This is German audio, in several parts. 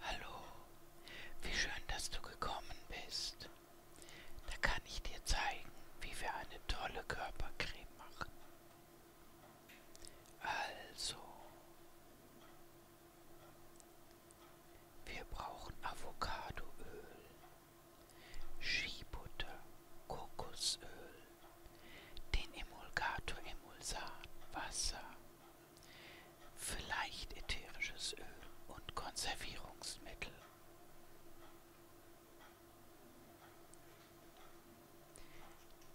Hallo, wie schön, dass du gekommen bist. Da kann ich dir zeigen, wie wir eine tolle Körpercreme machen. Also, wir brauchen Avocadoöl, Skibutter, Kokosöl, den Emulgator Emulsan, Wasser, Vielleicht ätherisches Öl und Konservierungsmittel.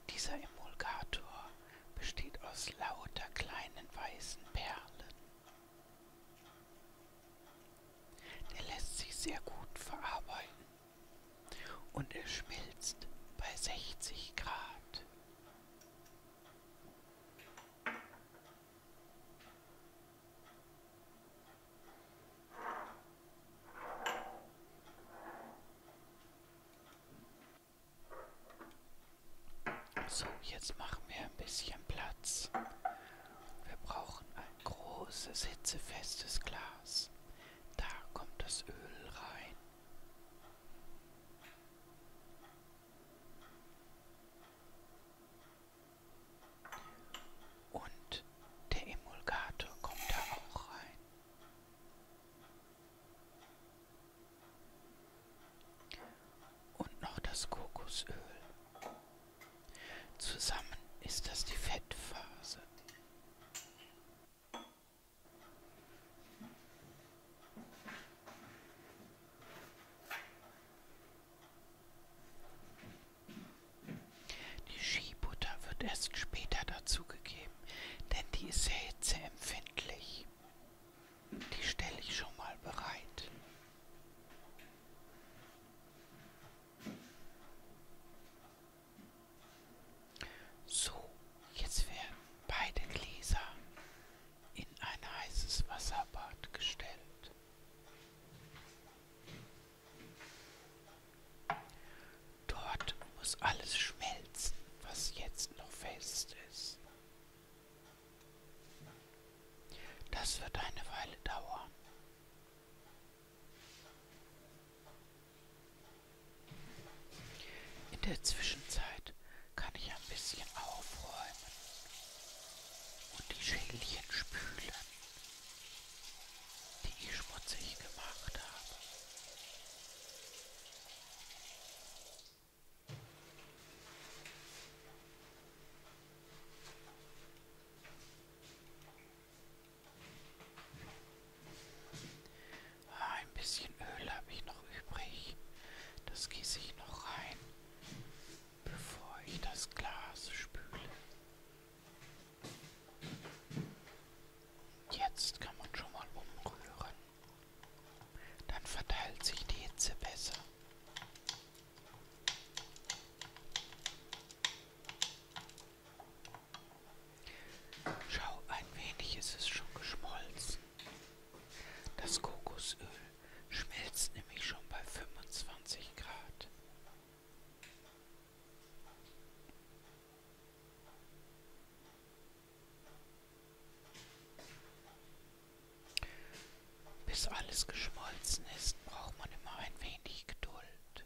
Dieser Emulgator besteht aus lauter kleinen weißen Perlen. Der lässt sich sehr gut verarbeiten und er schmilzt bei 60 Grad. So, jetzt machen wir ein bisschen Platz. Wir brauchen ein großes, hitzefestes Glas. Da kommt das Öl rein. Und der Emulgator kommt da auch rein. Und noch das Kokosöl. Zusammen ist das die Fettphase. Die Skibutter wird erst später dazugegeben, denn die ist sehr hitzeempfindlich. Die stelle ich schon mal bereit. So, jetzt werden beide Gläser in ein heißes Wasserbad gestellt. Dort muss alles schmelzen, was jetzt noch fest ist. Das wird eine Weile dauern. In der Zwischenzeit kann ich ein bisschen aufräumen und die Schälchen spülen, die ich schmutzig gemacht habe. Ah, ein bisschen Öl habe ich noch übrig. Das gieße ich noch rein, bevor ich das Glas spüle. Jetzt kann man schon mal umrühren. Dann verteilt sich die Hitze besser. Schau, ein wenig ist es schon geschmolzen. Das Kokosöl schmilzt nämlich schon bei 25 Grad. Bis alles geschmolzen ist, braucht man immer ein wenig Geduld.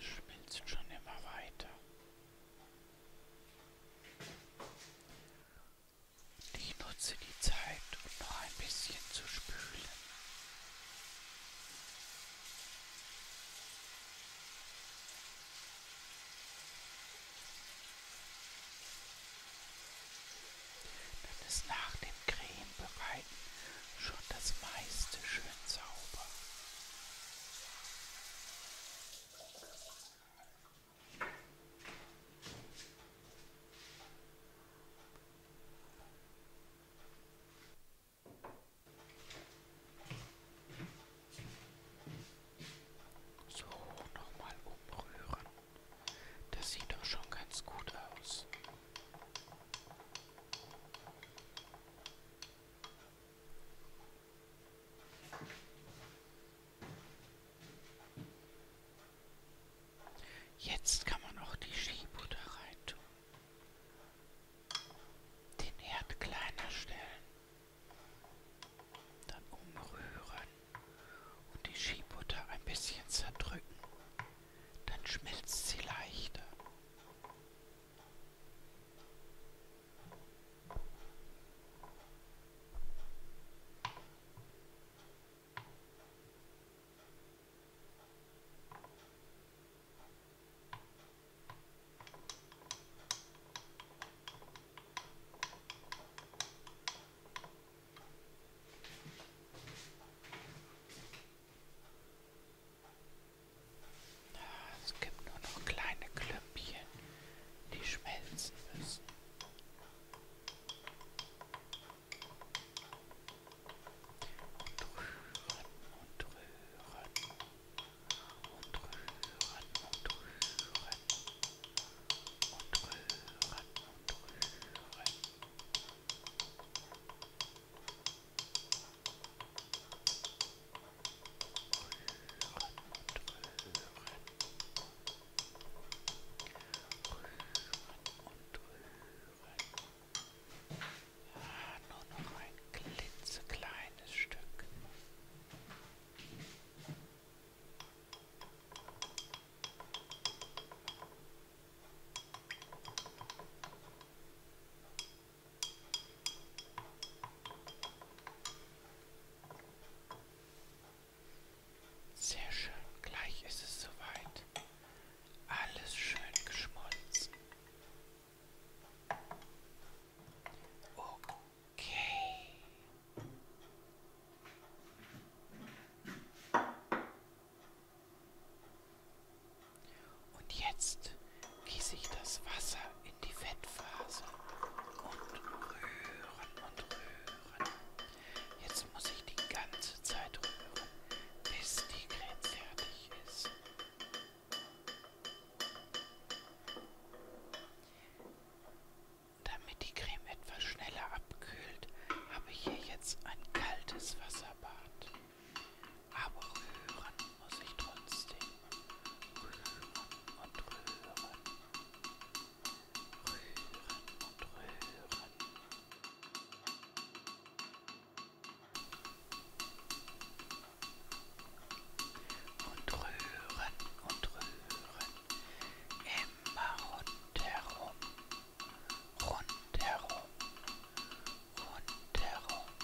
Es schmilzt schon immer weiter. Und ich nutze die Zeit, um noch ein bisschen zu spülen. Dann ist nach dem Creme bereiten schon das meiste schön sauber. So, nochmal umrühren. Das sieht doch schon ganz gut aus. Jetzt kann man auch die Skibutter rein tun. Den Herd kleiner stellen. Dann umrühren und die Skibutter ein bisschen zerdrücken dann schmilzt sie leichter. Es gibt nur noch kleine Klümpchen, die schmelzen müssen. Und rühren und rühren und rühren und rühren und rühren und rühren. Ah, nur noch ein klitzekleines Stück. Sehr schön, gleich ist es soweit. Alles schön geschmolzen. Okay. Und jetzt gieße ich das Wasser in die Fettphase und rühren und rühren. Jetzt muss ich die ganze Zeit rühren, bis die Creme fertig ist. Damit die Creme etwas schneller abkühlt, habe ich hier jetzt ein kaltes Wasserbad. Aber rühren muss ich trotzdem. Rühren und rühren. Rühren und rühren. Und rühren und rühren. Immer rundherum. Rundherum. Rundherum.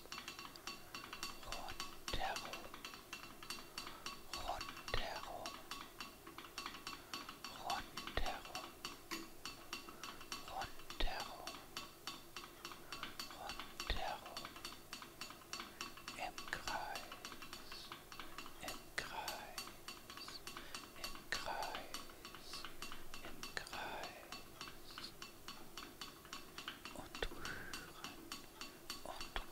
Rundherum. Rundherum. Rundherum. Rundherum. Rundherum. Im Kreis. Im Kreis. Im Kreis. Im Kreis und rühren und rühren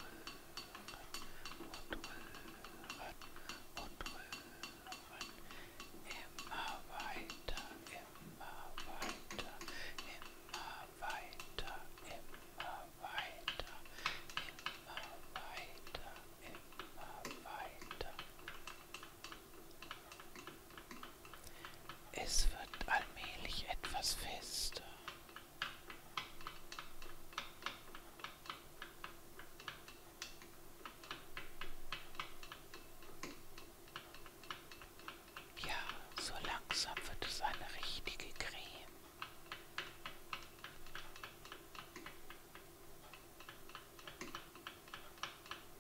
und rühren und rühren. Immer weiter, immer weiter, immer weiter, immer weiter, immer weiter, immer weiter. Es wird allmählich etwas fester. Ja, so langsam wird es eine richtige Creme.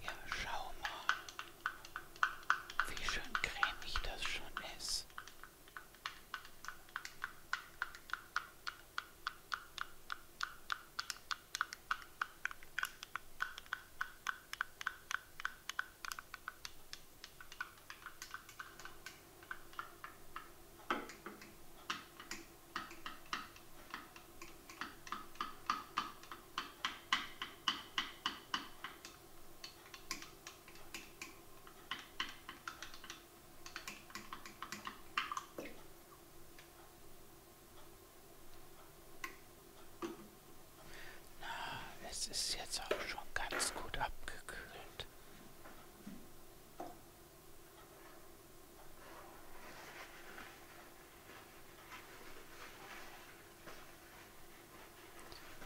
Ja, schau mal, wie schön cremig das schon ist. Na, es ist jetzt auch schon ganz gut abgekühlt.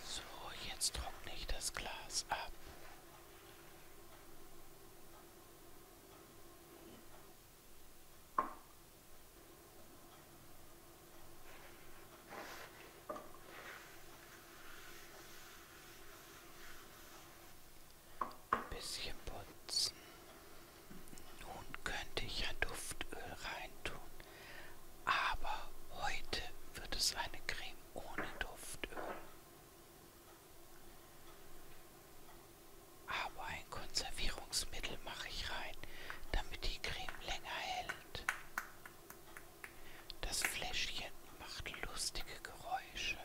So, jetzt trockne ich das Glas ab. Ein bisschen putzen. Nun könnte ich ja Duftöl reintun, aber heute wird es eine Creme ohne Duftöl. Aber ein Konservierungsmittel mache ich rein, damit die Creme länger hält. Das Fläschchen macht lustige Geräusche.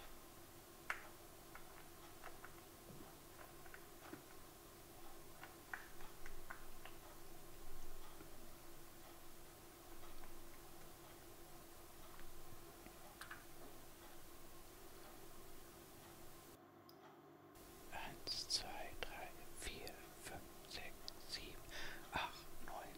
Eins, zwei, drei, vier, fünf, sechs, sieben, acht, neun,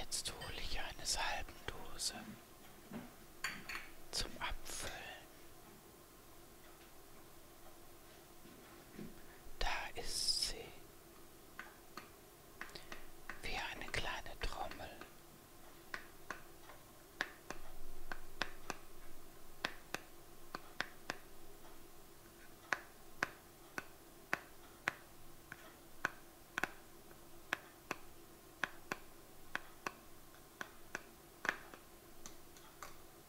Jetzt hole ich eine Salbendose zum Abfüllen. Da ist sie. Wie eine kleine Trommel.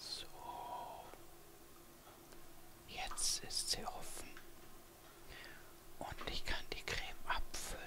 So. Jetzt ist sie offen. Und ich kann die Creme abfüllen.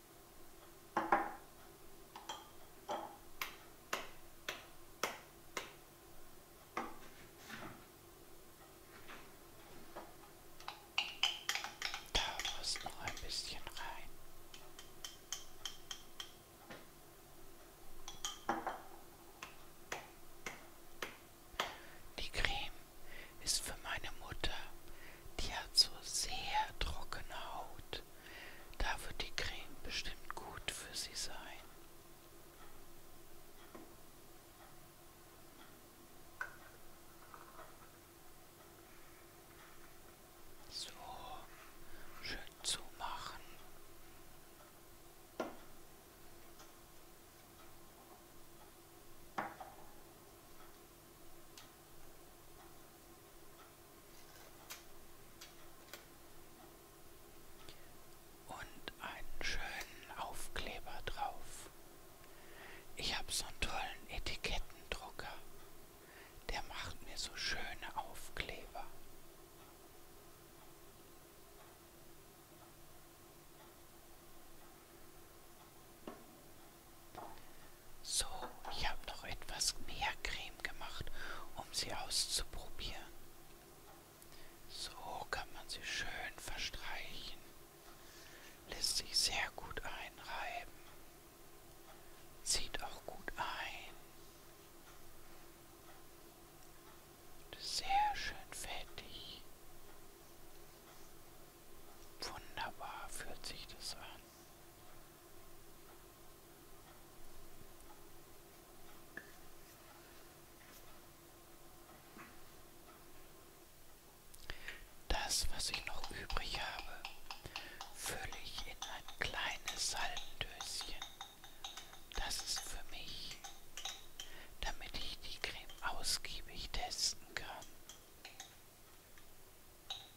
Da muss noch ein bisschen rein. Die Creme ist für meine Mutter, die hat so sehr trockene Haut. Da wird die Creme bestimmt gut für Sie sein. So, schön zumachen. Und einen schönen Aufkleber drauf. Ich habe so einen tollen Etikettendrucker. Der macht mir so schöne Aufkleber. So, ich habe noch etwas mehr Creme gemacht, um sie auszuprobieren. So kann man sie schön verstreichen. Lässt sich sehr gut einreiben. Zieht auch gut ein. Und ist sehr schön fettig. Wunderbar fühlt sich das an. Das, was ich noch übrig habe, fülle ich in ein kleines Salbendöschen. Das ist für mich, damit ich die Creme ausgiebig testen kann.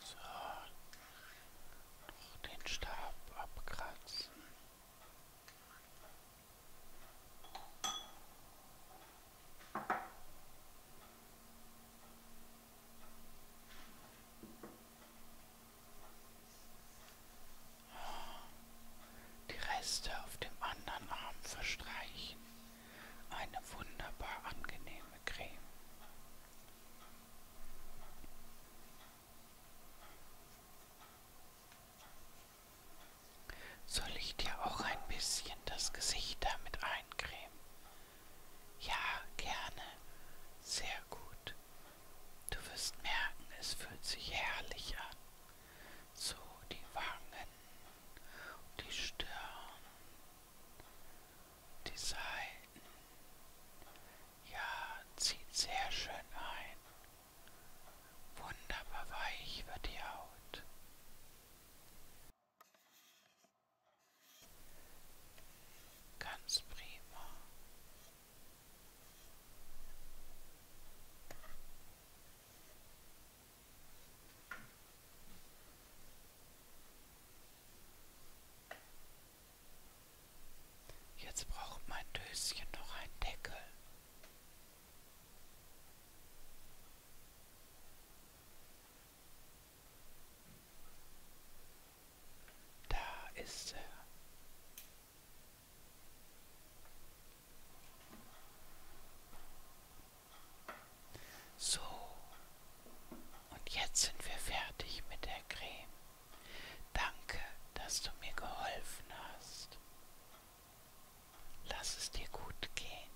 So, noch den Stab abkratzen. Die Reste auf dem anderen Arm verstreichen. Eine wunderbar angenehme Creme. Soll ich dir auch ein bisschen das Gesicht damit eincremen? Ja, gerne. Sehr gut. Du wirst merken, es fühlt sich herrlich an so die Wangen, die Stirn, die Seiten. Ja, zieht sehr schön ein. Wunderbar weich wird die Haut. Ganz prima. Jetzt braucht mein Döschen noch einen Deckel. Da ist er. So, und jetzt sind wir fertig mit der Creme. Danke, dass du mir geholfen hast. Lass es dir gut gehen.